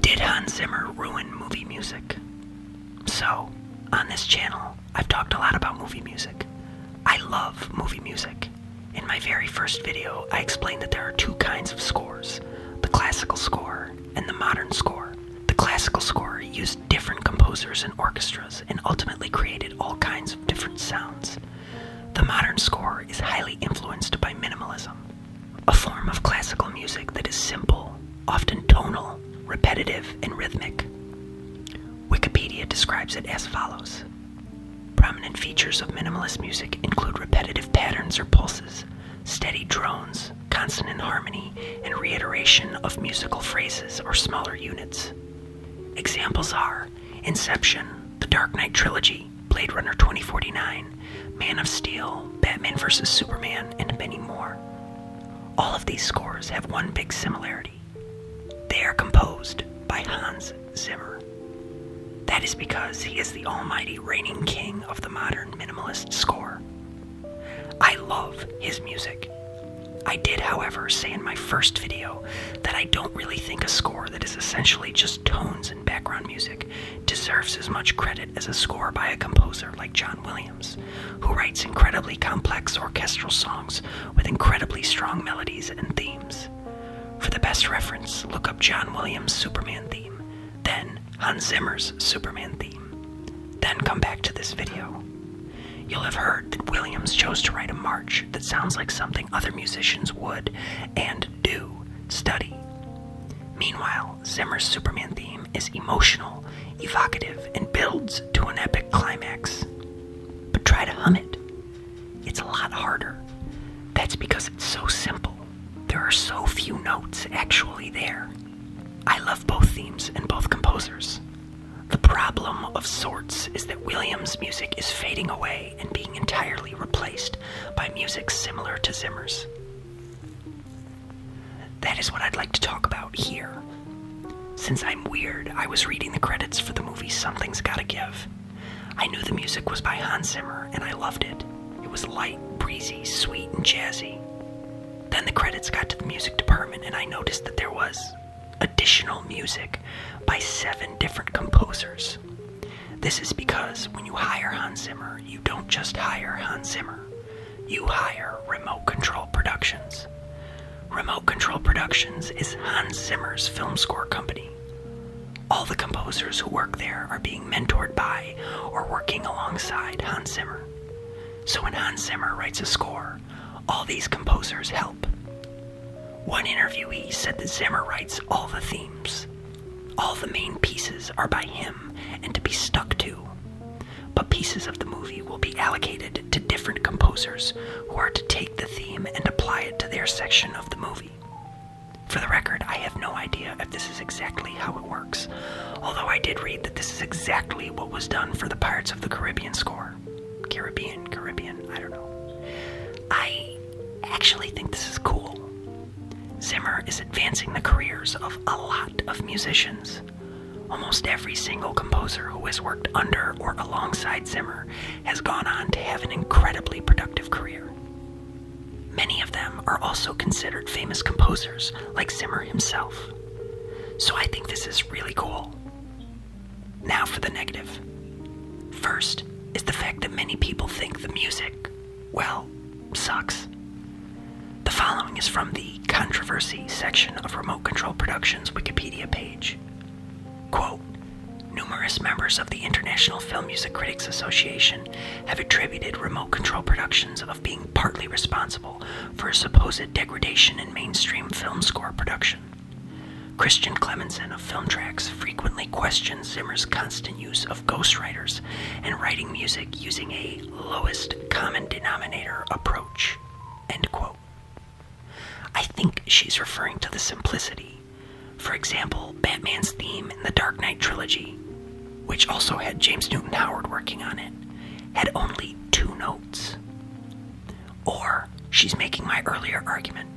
Did Hans Zimmer ruin movie music? So, on this channel, I've talked a lot about movie music. I love movie music. In my very first video, I explained that there are two kinds of scores, the classical score and the modern score. The classical score used different composers and orchestras and ultimately created all kinds of different sounds. The modern score is highly influenced by minimalism, a form of classical music that is simple, often tonal, repetitive, and rhythmic. Wikipedia describes it as follows Prominent features of minimalist music include repetitive patterns or pulses, steady drones, consonant harmony, and reiteration of musical phrases or smaller units. Examples are Inception, The Dark Knight Trilogy, Blade Runner 2049, Man of Steel, Batman vs. Superman, and many more. All of these scores have one big similarity they are composed by Hans Zimmer. That is because he is the almighty reigning king of the modern minimalist score. I love his music. I did, however, say in my first video that I don't really think a score that is essentially just tones and background music deserves as much credit as a score by a composer like John Williams, who writes incredibly complex orchestral songs with incredibly strong melodies and themes. For the best reference, look up John Williams' Superman theme, then Hans Zimmer's Superman theme. Then come back to this video. You'll have heard that Williams chose to write a march that sounds like something other musicians would and do study. Meanwhile, Zimmer's Superman theme is emotional, evocative, and builds to an epic climax. But try to hum it. It's a lot harder. That's because it's so simple. There are so few notes actually there. I love both themes and both composers. The problem of sorts is that Williams' music is fading away and being entirely replaced by music similar to Zimmer's. That is what I'd like to talk about here. Since I'm weird, I was reading the credits for the movie Something's Gotta Give. I knew the music was by Hans Zimmer and I loved it. It was light, breezy, sweet, and jazzy. Then the credits got to the music department and I noticed that there was additional music by seven different composers. This is because when you hire Hans Zimmer, you don't just hire Hans Zimmer, you hire Remote Control Productions. Remote Control Productions is Hans Zimmer's film score company. All the composers who work there are being mentored by or working alongside Hans Zimmer. So when Hans Zimmer writes a score, all these composers help. One interviewee said that Zimmer writes all the themes. All the main pieces are by him and to be stuck to, but pieces of the movie will be allocated to different composers who are to take the theme and apply it to their section of the movie. For the record, I have no idea if this is exactly how it works, although I did read that this is exactly what was done for the Pirates of the Caribbean score. Caribbean, Caribbean, I don't know. I actually think this is cool. Zimmer is advancing the careers of a lot of musicians. Almost every single composer who has worked under or alongside Zimmer has gone on to have an incredibly productive career. Many of them are also considered famous composers, like Zimmer himself. So I think this is really cool. Now for the negative. First is the fact that many people think the music, well, sucks. The following is from the controversy section of Remote Control Productions Wikipedia page. Quote, Numerous members of the International Film Music Critics Association have attributed remote control productions of being partly responsible for a supposed degradation in mainstream film score production. Christian Clemenson of Filmtracks frequently questions Zimmer's constant use of ghostwriters and writing music using a lowest common denominator approach. End quote. I think she's referring to the simplicity. For example, Batman's theme in the Dark Knight trilogy, which also had James Newton Howard working on it, had only two notes. Or she's making my earlier argument.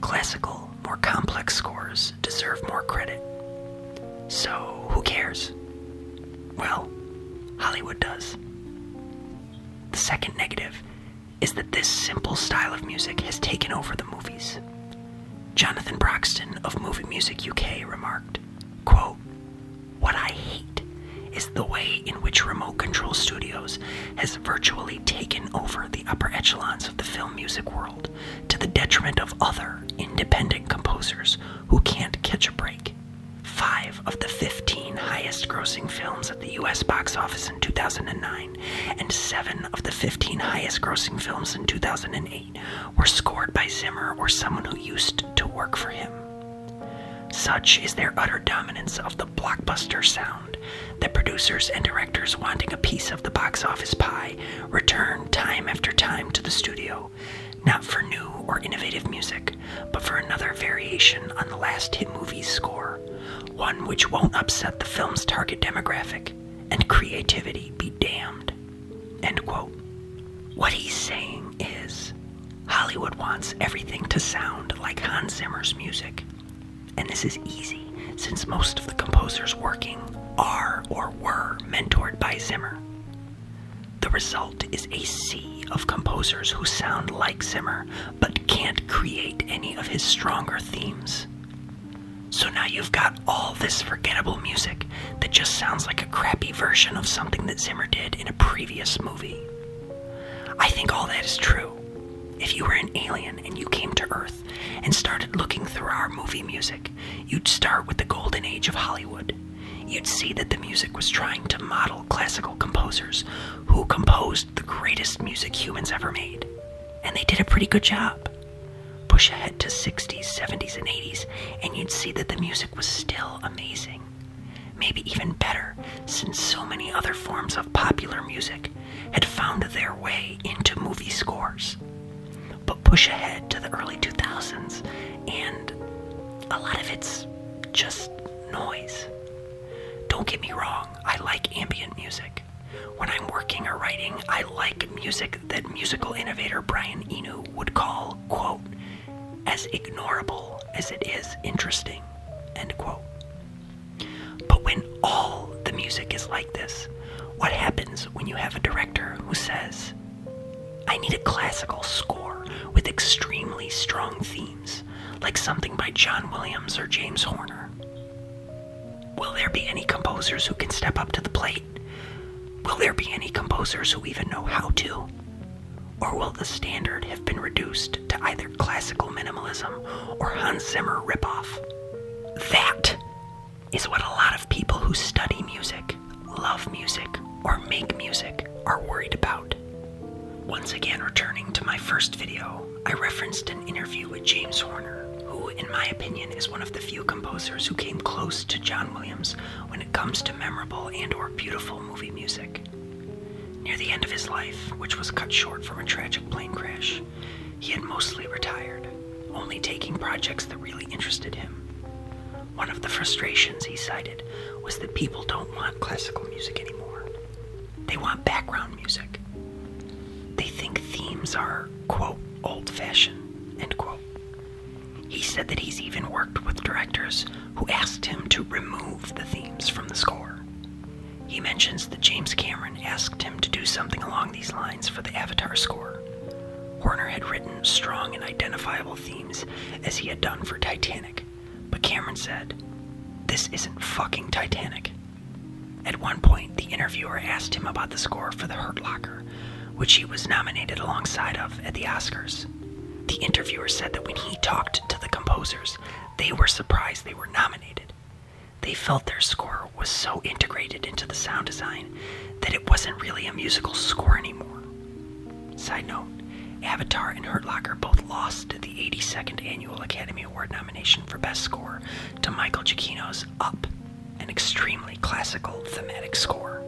Classical, more complex scores deserve more credit. So who cares? Well, Hollywood does. The second negative is that this simple style of music has taken over the movies. Jonathan Broxton of Movie Music UK remarked, quote, What I hate is the way in which remote control studios has virtually taken over the upper echelons of the film music world to the detriment of other independent composers who can't catch a break. Five of the 15 highest grossing films at the US box office in 2009 and seven of the 15 highest grossing films in 2008 were scored by Zimmer or someone who used to work for him. Such is their utter dominance of the blockbuster sound that producers and directors wanting a piece of the box office pie return time after time to the studio, not for new or innovative music, but for another variation on the last hit movie's score, one which won't upset the film's target demographic, and creativity be damned. End quote. What he's saying is Hollywood wants everything to sound like Hans Zimmer's music. And this is easy, since most of the composers working are or were mentored by Zimmer. The result is a sea of composers who sound like Zimmer, but can't create any of his stronger themes. So now you've got all this forgettable music that just sounds like a crappy version of something that Zimmer did in a previous movie. I think all that is true. If you were an alien and you came to Earth and started looking through our movie music, you'd start with the golden age of Hollywood. You'd see that the music was trying to model classical composers who composed the greatest music humans ever made. And they did a pretty good job. Push ahead to 60s, 70s, and 80s, and you'd see that the music was still amazing. Maybe even better, since so many other forms of popular music had found their way into movie scores. But push ahead to the early 2000s, and a lot of it's just noise. Don't get me wrong, I like ambient music. When I'm working or writing, I like music that musical innovator Brian Eno would call, quote, as ignorable as it is interesting, end quote. But when all the music is like this, what happens when you have a director who says, I need a classical score with extremely strong themes, like something by John Williams or James Horner? Will there be any composers who can step up to the plate? Will there be any composers who even know how to? Or will the standard have been reduced to either classical minimalism or Hans Zimmer ripoff. That is what a lot of people who study music, love music, or make music are worried about. Once again, returning to my first video, I referenced an interview with James Horner, who, in my opinion, is one of the few composers who came close to John Williams when it comes to memorable and or beautiful movie music. Near the end of his life, which was cut short from a tragic plane crash, he had mostly retired, only taking projects that really interested him. One of the frustrations he cited was that people don't want classical music anymore. They want background music. They think themes are, quote, old fashioned, end quote. He said that he's even worked with directors who asked him to remove the themes from the score. He mentions that James Cameron asked him to do something along these lines for the Avatar score. Horner had written strong and identifiable themes as he had done for Titanic, but Cameron said, This isn't fucking Titanic. At one point, the interviewer asked him about the score for The Hurt Locker, which he was nominated alongside of at the Oscars. The interviewer said that when he talked to the composers, they were surprised they were nominated, they felt their score was so integrated into the sound design that it wasn't really a musical score anymore. Side note Avatar and Hurt Locker both lost the 82nd Annual Academy Award nomination for Best Score to Michael Giacchino's Up, an extremely classical thematic score.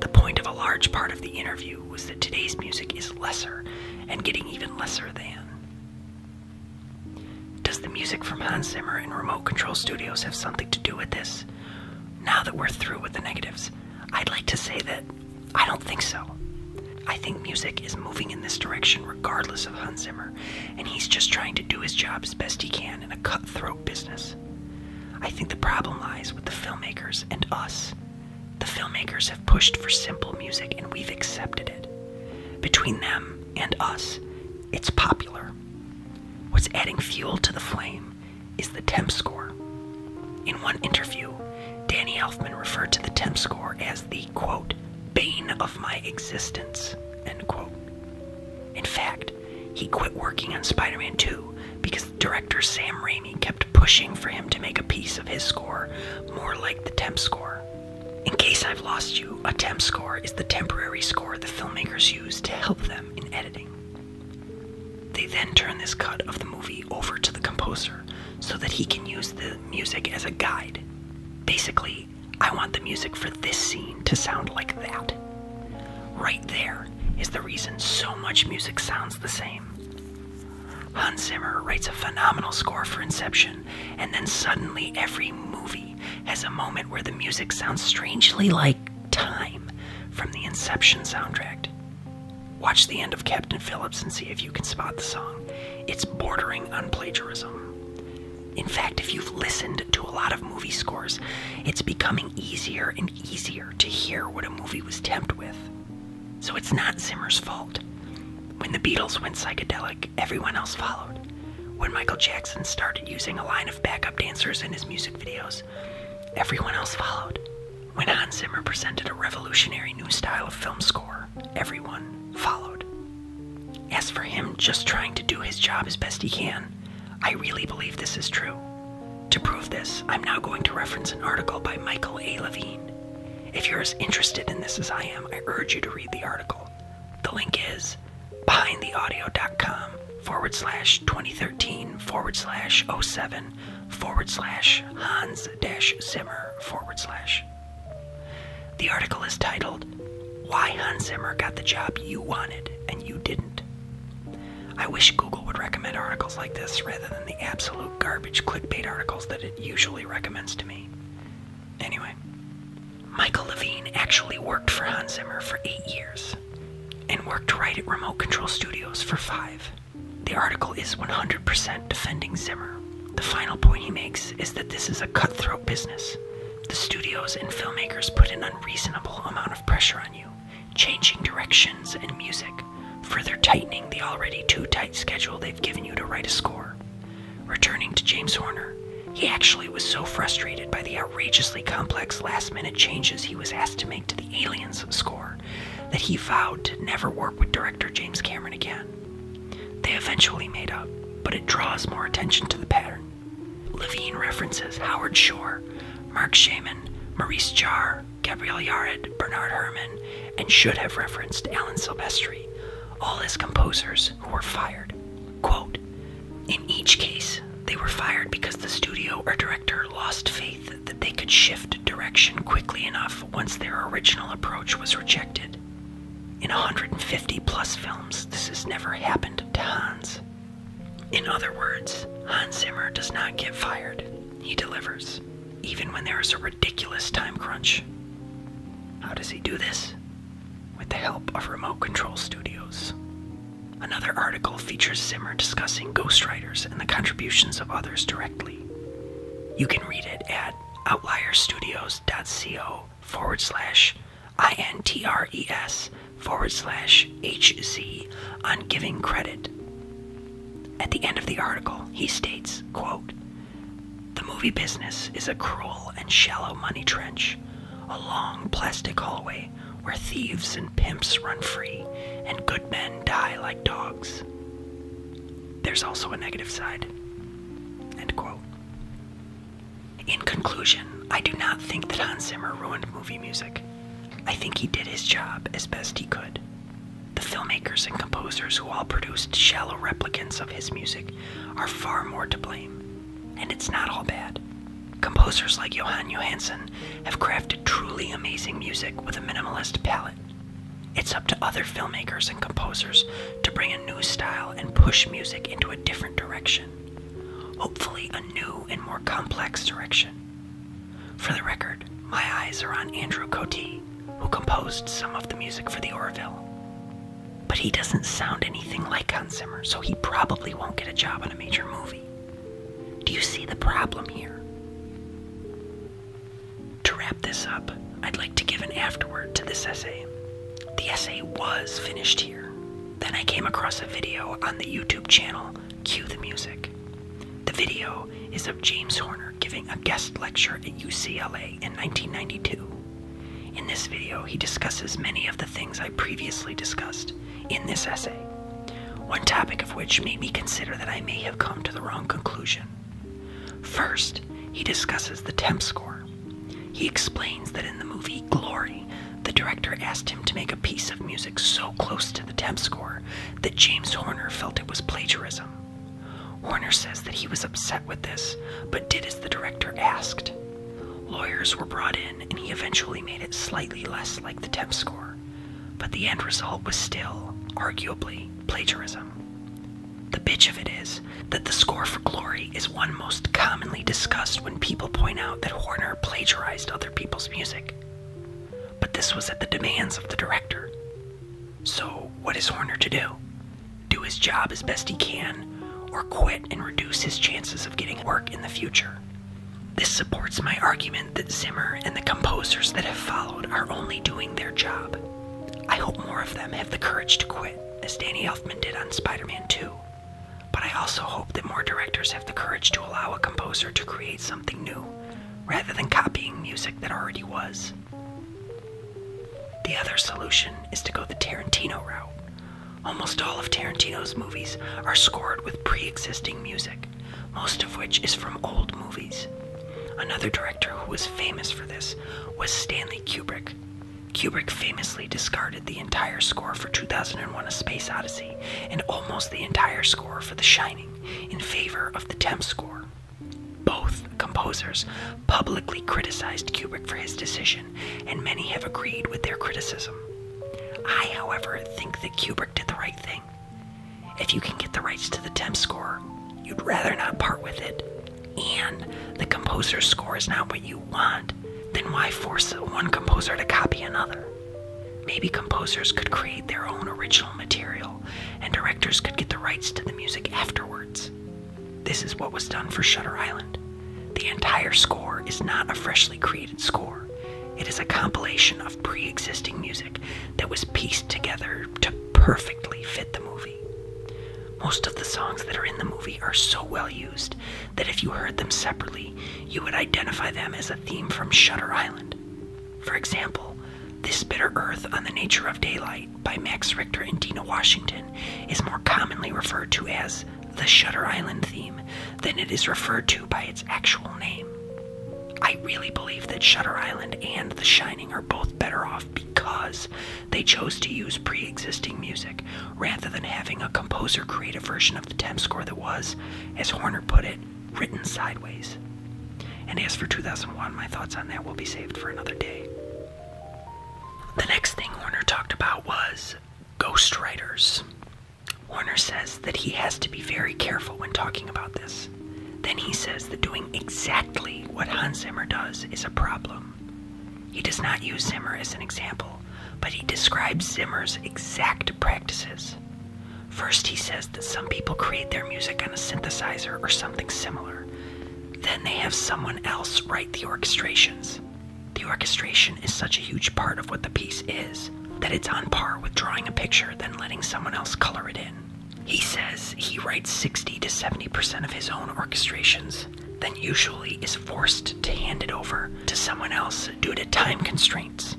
The point of a large part of the interview was that today's music is lesser and getting even lesser than. Does the music from Hans Zimmer and Remote Control Studios have something to do with this? Now that we're through with the negatives, I'd like to say that I don't think so. I think music is moving in this direction regardless of Hans Zimmer, and he's just trying to do his job as best he can in a cutthroat business. I think the problem lies with the filmmakers and us. The filmmakers have pushed for simple music and we've accepted it. Between them and us, it's popular. What's adding fuel to the flame is the temp score. In one interview, Danny Elfman referred to the temp score as the quote, bane of my existence, end quote. In fact, he quit working on Spider Man 2 because director Sam Raimi kept pushing for him to make a piece of his score more like the temp score, in Case I've Lost You, a temp score is the temporary score the filmmakers use to help them in editing. They then turn this cut of the movie over to the composer so that he can use the music as a guide. Basically, I want the music for this scene to sound like that. Right there is the reason so much music sounds the same. Hans Zimmer writes a phenomenal score for Inception, and then suddenly every movie has a moment where the music sounds strangely like time from the Inception soundtrack. Watch the end of Captain Phillips and see if you can spot the song. It's bordering on plagiarism. In fact, if you've listened to a lot of movie scores, it's becoming easier and easier to hear what a movie was temped with. So it's not Zimmer's fault. When the Beatles went psychedelic, everyone else followed. When Michael Jackson started using a line of backup dancers in his music videos, everyone else followed. When Hans Zimmer presented a revolutionary new style of film score, everyone followed. As for him just trying to do his job as best he can, I really believe this is true. To prove this, I'm now going to reference an article by Michael A. Levine. If you're as interested in this as I am, I urge you to read the article. The link is behindtheaudio.com forward slash 2013 forward slash 07 forward slash Hans dash Zimmer forward slash. The article is titled, Why Hans Zimmer Got the Job You Wanted and You Didn't. I wish Google would recommend articles like this rather than the absolute garbage clickbait articles that it usually recommends to me. Anyway, Michael Levine actually worked for Hans Zimmer for eight years and worked right at Remote Control Studios for five. The article is 100% defending Zimmer. The final point he makes is that this is a cutthroat business. The studios and filmmakers put an unreasonable amount of pressure on you, changing directions and music, further tightening the already too tight schedule they've given you to write a score. Returning to James Horner, he actually was so frustrated by the outrageously complex last minute changes he was asked to make to the Aliens score that he vowed to never work with director James Cameron again. They eventually made up, but it draws more attention to the pattern. Levine references Howard Shore, Mark Shaman, Maurice Jarre, Gabriel Yared, Bernard Herrmann, and should have referenced Alan Silvestri, all his composers who were fired. Quote In each case, they were fired because the studio or director lost faith that they could shift direction quickly enough once their original approach was rejected. In 150 plus films, this has never happened to Hans. In other words, Hans Zimmer does not get fired. He delivers, even when there is a ridiculous time crunch. How does he do this? with the help of Remote Control Studios. Another article features Zimmer discussing ghostwriters and the contributions of others directly. You can read it at outlierstudios.co forward slash INTRES forward slash HZ on giving credit. At the end of the article, he states, quote, the movie business is a cruel and shallow money trench, a long plastic hallway where thieves and pimps run free and good men die like dogs. There's also a negative side. End quote. In conclusion, I do not think that Hans Zimmer ruined movie music. I think he did his job as best he could. The filmmakers and composers who all produced shallow replicants of his music are far more to blame. And it's not all bad. Composers like Johan Johansson have crafted truly amazing music with a minimalist palette. It's up to other filmmakers and composers to bring a new style and push music into a different direction. Hopefully, a new and more complex direction. For the record, my eyes are on Andrew Cote, who composed some of the music for The Orville. But he doesn't sound anything like Hans Zimmer, so he probably won't get a job on a major movie. Do you see the problem here? To wrap this up, I'd like to give an afterword to this essay. The essay was finished here. Then I came across a video on the YouTube channel Cue the Music. The video is of James Horner giving a guest lecture at UCLA in 1992. In this video, he discusses many of the things I previously discussed in this essay, one topic of which made me consider that I may have come to the wrong conclusion. First, he discusses the temp score. He explains that in the movie Glory, the director asked him to make a piece of music so close to the temp score that James Horner felt it was plagiarism. Horner says that he was upset with this, but did the director asked. Lawyers were brought in, and he eventually made it slightly less like the temp score, but the end result was still, arguably, plagiarism. The bitch of it is that the score for Glory is one most commonly discussed when people point out that Horner plagiarized other people's music. But this was at the demands of the director. So, what is Horner to do? do his job as best he can, or quit and reduce his chances of getting work in the future. This supports my argument that Zimmer and the composers that have followed are only doing their job. I hope more of them have the courage to quit, as Danny Elfman did on Spider Man 2. But I also hope that more directors have the courage to allow a composer to create something new, rather than copying music that already was. The other solution is to go the Tarantino route. Almost all of Tarantino's movies are scored with pre existing music, most of which is from old movies. Another director who was famous for this was Stanley Kubrick. Kubrick famously discarded the entire score for 2001 A Space Odyssey and almost the entire score for The Shining in favor of the temp score. Both composers publicly criticized Kubrick for his decision and many have agreed with their criticism. I, however, think that Kubrick did the right thing. If you can get the rights to the temp score, you'd rather not part with it, and the composer's score is not what you want, then why force one composer to copy another? Maybe composers could create their own original material, and directors could get the rights to the music afterwards. This is what was done for Shutter Island. The entire score is not a freshly created score. It is a compilation of pre existing music that was pieced together to perfectly fit the movie. Most of the songs that are in the movie are so well used that if you heard them separately, you would identify them as a theme from Shutter Island. For example, This Bitter Earth on the Nature of Daylight by Max Richter and Dina Washington is more commonly referred to as the Shutter Island theme than it is referred to by its actual name. I really believe that Shutter Island and The Shining are both better off because they chose to use pre existing music rather than having a composer create a version of the temp score that was, as Horner put it, written sideways. And as for 2001, my thoughts on that will be saved for another day. The next thing Warner talked about was ghostwriters. Warner says that he has to be very careful when talking about this. Then he says that doing exactly what Hans Zimmer does is a problem. He does not use Zimmer as an example, but he describes Zimmer's exact practices. First, he says that some people create their music on a synthesizer or something similar. Then they have someone else write the orchestrations. The orchestration is such a huge part of what the piece is that it's on par with drawing a picture then letting someone else color it in. He says he writes 60 to 70% of his own orchestrations, then usually is forced to hand it over to someone else due to time constraints.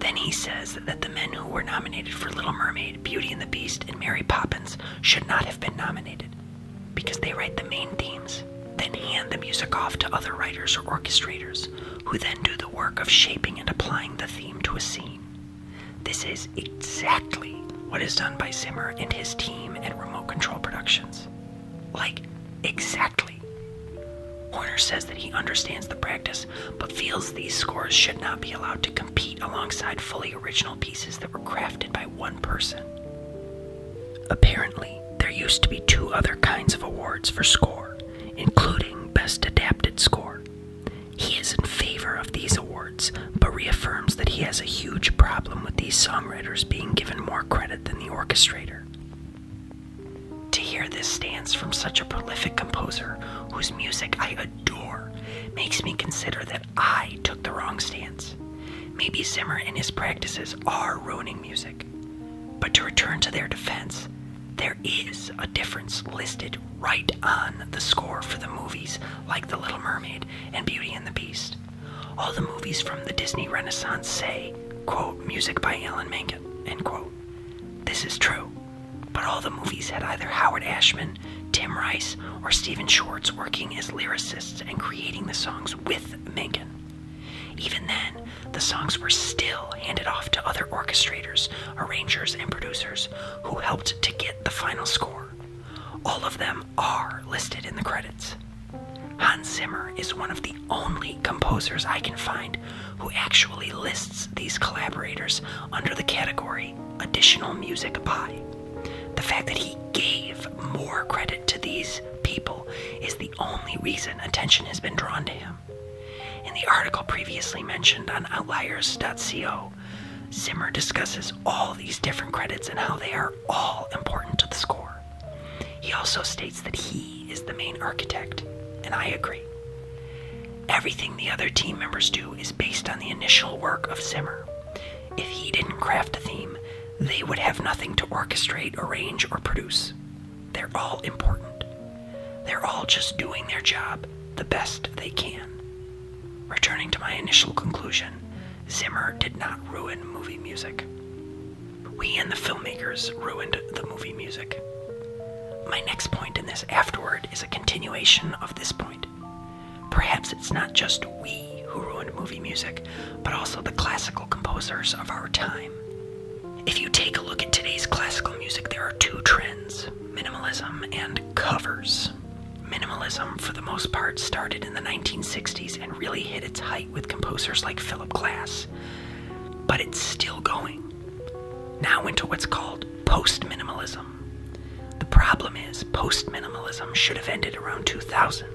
Then he says that the men who were nominated for Little Mermaid, Beauty and the Beast, and Mary Poppins should not have been nominated because they write the main themes, then hand the music off to other writers or orchestrators who then do the work of shaping and applying the theme to a scene. This is exactly what is done by Zimmer and his team at Remote Control Productions. Like, exactly. Horner says that he understands the practice, but feels these scores should not be allowed to compete alongside fully original pieces that were crafted by one person. Apparently, there used to be two other kinds of awards for score, including Best Adapted Score. He is in favor of these awards, but reaffirms that he has a huge problem with these songwriters being given more credit than the orchestrator. To hear this stance from such a prolific composer whose music I adore makes me consider that I took the wrong stance. Maybe Zimmer and his practices are ruining music. But to return to their defense, there is a difference listed right on the score for the movies like The Little Mermaid and Beauty and the Beast. All the movies from the Disney Renaissance say, quote, music by Alan Menken, end quote. This is true, but all the movies had either Howard Ashman, Tim Rice, or Stephen Schwartz working as lyricists and creating the songs with even then, the songs were still handed off to other orchestrators, arrangers, and producers who helped to get the final score. All of them are listed in the credits. Hans Zimmer is one of the only composers I can find who actually lists these collaborators under the category additional music by. The fact that he gave more credit to these people is the only reason attention has been drawn to him. In the article previously mentioned on outliers.co, Zimmer discusses all these different credits and how they are all important to the score. He also states that he is the main architect, and I agree. Everything the other team members do is based on the initial work of Zimmer. If he didn't craft a theme, they would have nothing to orchestrate, arrange, or produce. They're all important. They're all just doing their job the best they can. Returning to my initial conclusion, Zimmer did not ruin movie music. We and the filmmakers ruined the movie music. My next point in this afterward is a continuation of this point. Perhaps it's not just we who ruined movie music, but also the classical composers of our time. If you take a look at today's classical music, there are two trends minimalism and covers. Minimalism, for the most part, started in the 1960s and really hit its height with composers like Philip Glass. But it's still going. Now into what's called post minimalism. The problem is, post minimalism should have ended around 2000.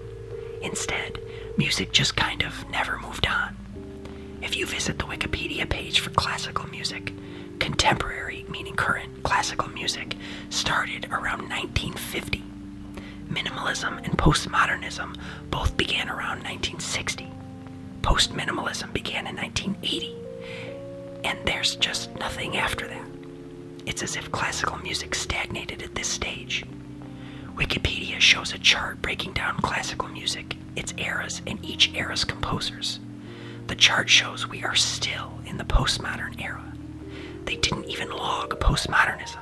Instead, music just kind of never moved on. If you visit the Wikipedia page for classical music, contemporary, meaning current, classical music started around 1950. Minimalism and postmodernism both began around 1960. Postminimalism began in 1980, and there's just nothing after that. It's as if classical music stagnated at this stage. Wikipedia shows a chart breaking down classical music, its eras, and each era's composers. The chart shows we are still in the postmodern era. They didn't even log postmodernism,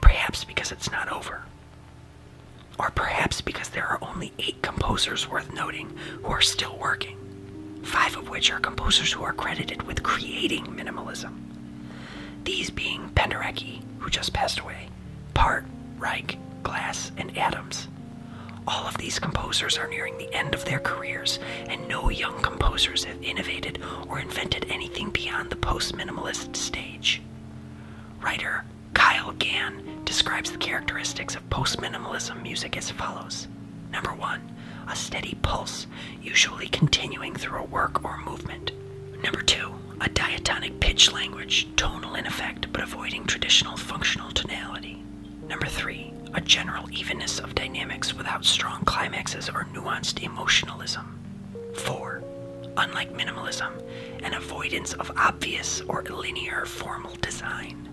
perhaps because it's not over. Or perhaps because there are only eight composers worth noting who are still working, five of which are composers who are credited with creating minimalism. These being Penderecki, who just passed away, Part, Reich, Glass, and Adams. All of these composers are nearing the end of their careers, and no young composers have innovated or invented anything beyond the post minimalist stage. Writer Kyle Gann describes the characteristics of post minimalism music as follows Number one, a steady pulse usually continuing through a work or movement. Number two, a diatonic pitch language, tonal in effect but avoiding traditional functional tonality. Number three, a general evenness of dynamics without strong climaxes or nuanced emotionalism. Four, unlike minimalism, an avoidance of obvious or linear formal design.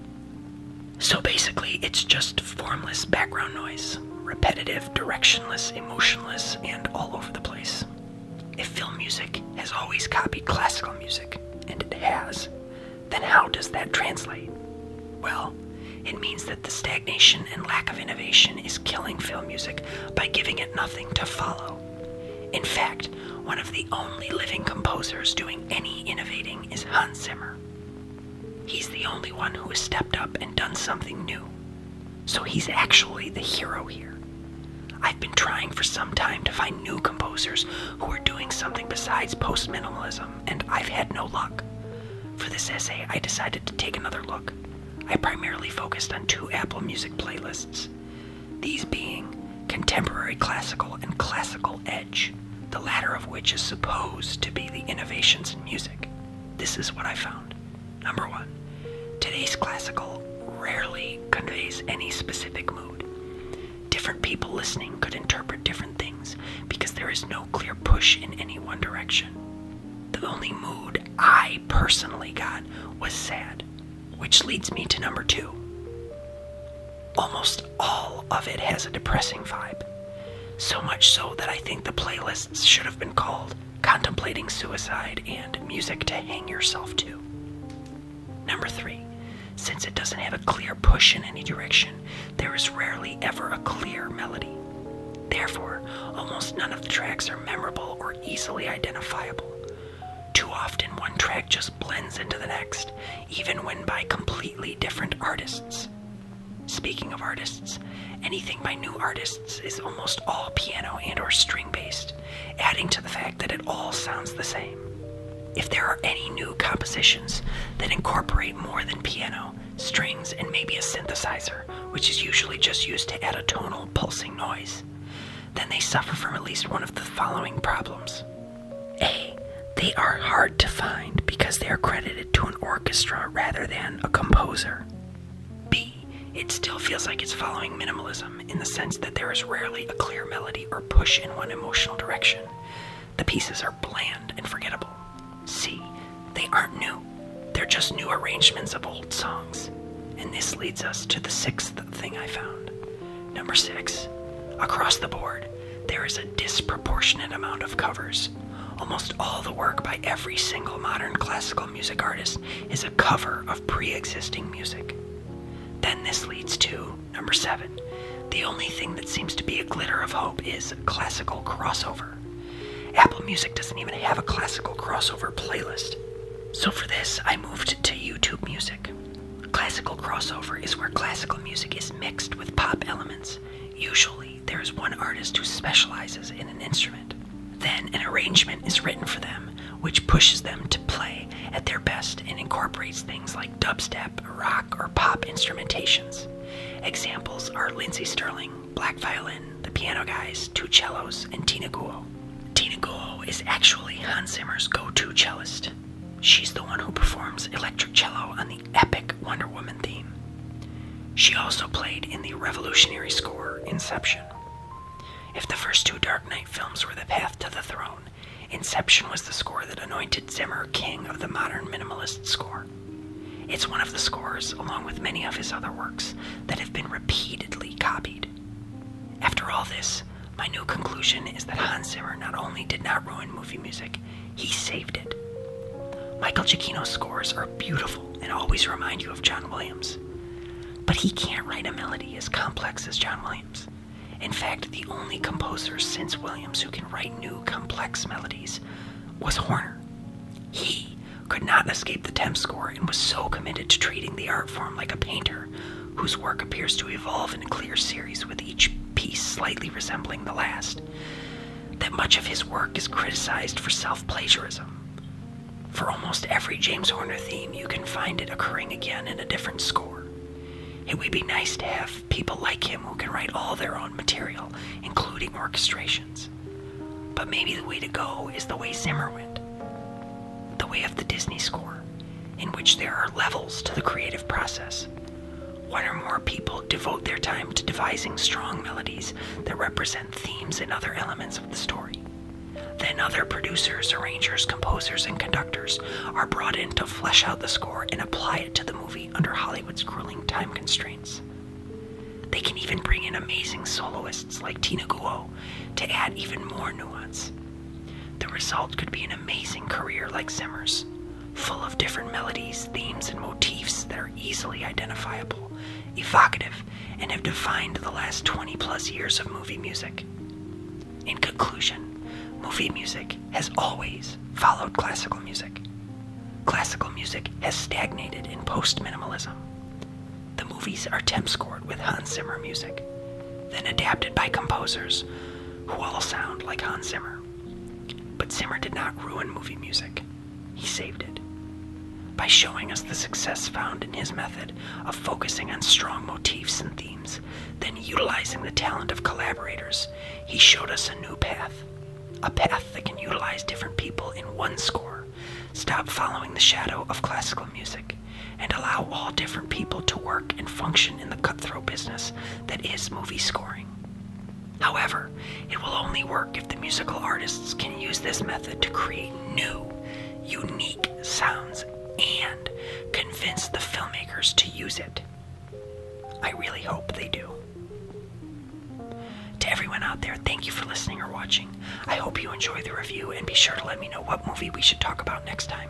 So basically, it's just formless background noise, repetitive directionless, emotionless, and all over the place. If film music has always copied classical music, and it has, then how does that translate? Well, it means that the stagnation and lack of innovation is killing film music by giving it nothing to follow. In fact, one of the only living composers doing any innovating is Hans Zimmer. He's the only one who has stepped up and done something new, so he's actually the hero here. I've been trying for some time to find new composers who are doing something besides postminimalism, and I've had no luck. For this essay, I decided to take another look. I primarily focused on two Apple Music playlists, these being Contemporary Classical and Classical Edge, the latter of which is supposed to be the innovations in music. This is what I found. Number one, today's classical rarely conveys any specific mood. Different people listening could interpret different things because there is no clear push in any one direction. The only mood I personally got was sad, which leads me to number two. Almost all of it has a depressing vibe. So much so that I think the playlists should have been called contemplating suicide, and music to hang yourself to. Number three, since it doesn't have a clear push in any direction, there is rarely ever a clear melody. Therefore, almost none of the tracks are memorable or easily identifiable. Too often, one track just blends into the next, even when by completely different artists. Speaking of artists, Anything by new artists is almost all piano and or string based, adding to the fact that it all sounds the same. If there are any new compositions that incorporate more than piano, strings, and maybe a synthesizer, which is usually just used to add a tonal pulsing noise, then they suffer from at least one of the following problems. A. They are hard to find because they are credited to an orchestra rather than a composer. B it still feels like it's following minimalism in the sense that there is rarely a clear melody or push in one emotional direction. The pieces are bland and forgettable. See, they aren't new, they're just new arrangements of old songs. And this leads us to the sixth thing I found. Number six, across the board, there is a disproportionate amount of covers. Almost all the work by every single modern classical music artist is a cover of pre existing music. Then this leads to number seven. The only thing that seems to be a glitter of hope is classical crossover. Apple Music doesn't even have a classical crossover playlist. So for this, I moved to YouTube Music. Classical crossover is where classical music is mixed with pop elements. Usually, there is one artist who specializes in an instrument. Then an arrangement is written for them, which pushes them to play at their best and incorporates things like dubstep, rock, or pop instrumentations. Examples are Lindsey Sterling, Black Violin, The Piano Guys, Two Cellos, and Tina Guo. Tina Guo is actually Hans Zimmer's go-to cellist. She's the one who performs electric cello on the epic Wonder Woman theme. She also played in the revolutionary score Inception. If the first two Dark Knight films were the path to the throne, Inception was the score that anointed Zimmer king of the modern minimalist score. It's one of the scores, along with many of his other works, that have been repeatedly copied. After all this, my new conclusion is that Hans Zimmer not only did not ruin movie music, he saved it. Michael Giacchino's scores are beautiful and always remind you of John Williams. But he can't write a melody as complex as John Williams. In fact, the only composer since Williams who can write new complex melodies was Horner. He could not escape the temp score and was so committed to treating the art form like a painter whose work appears to evolve in a clear series with each piece slightly resembling the last that much of his work is criticized for self-plagiarism for almost every James Horner theme, you can find it occurring again in a different score. It would be nice to have people like him who can write all their own material, including orchestrations. But maybe the way to go is the way Zimmer went the way of the Disney score, in which there are levels to the creative process. One or more people devote their time to devising strong melodies that represent themes and other elements of the story. Then other producers, arrangers, composers, and conductors are brought in to flesh out the score and apply it to the movie under Hollywood's grueling time constraints. They can even bring in amazing soloists like Tina Guo to add even more nuance. The result could be an amazing career like Zimmer's, full of different melodies, themes, and motifs that are easily identifiable, evocative, and have defined the last 20 plus years of movie music. In conclusion, movie music has always followed classical music. Classical music has stagnated in post minimalism. The movies are temp scored with Hans Zimmer music, then adapted by composers who all sound like Hans Zimmer. But Zimmer did not ruin movie music. He saved it by showing us the success found in his method of focusing on strong motifs and themes, then utilizing the talent of collaborators. He showed us a new path, a path that can utilize different people in one score. Stop following the shadow of classical music and allow all different people to work and function in the cutthroat business that is movie scoring. However, it will only work if the musical artists can use this method to create new, unique sounds and convince the filmmakers to use it. I really hope they do. To everyone out there, thank you for listening or watching. I hope you enjoy the review and be sure to let me know what movie we should talk about next time.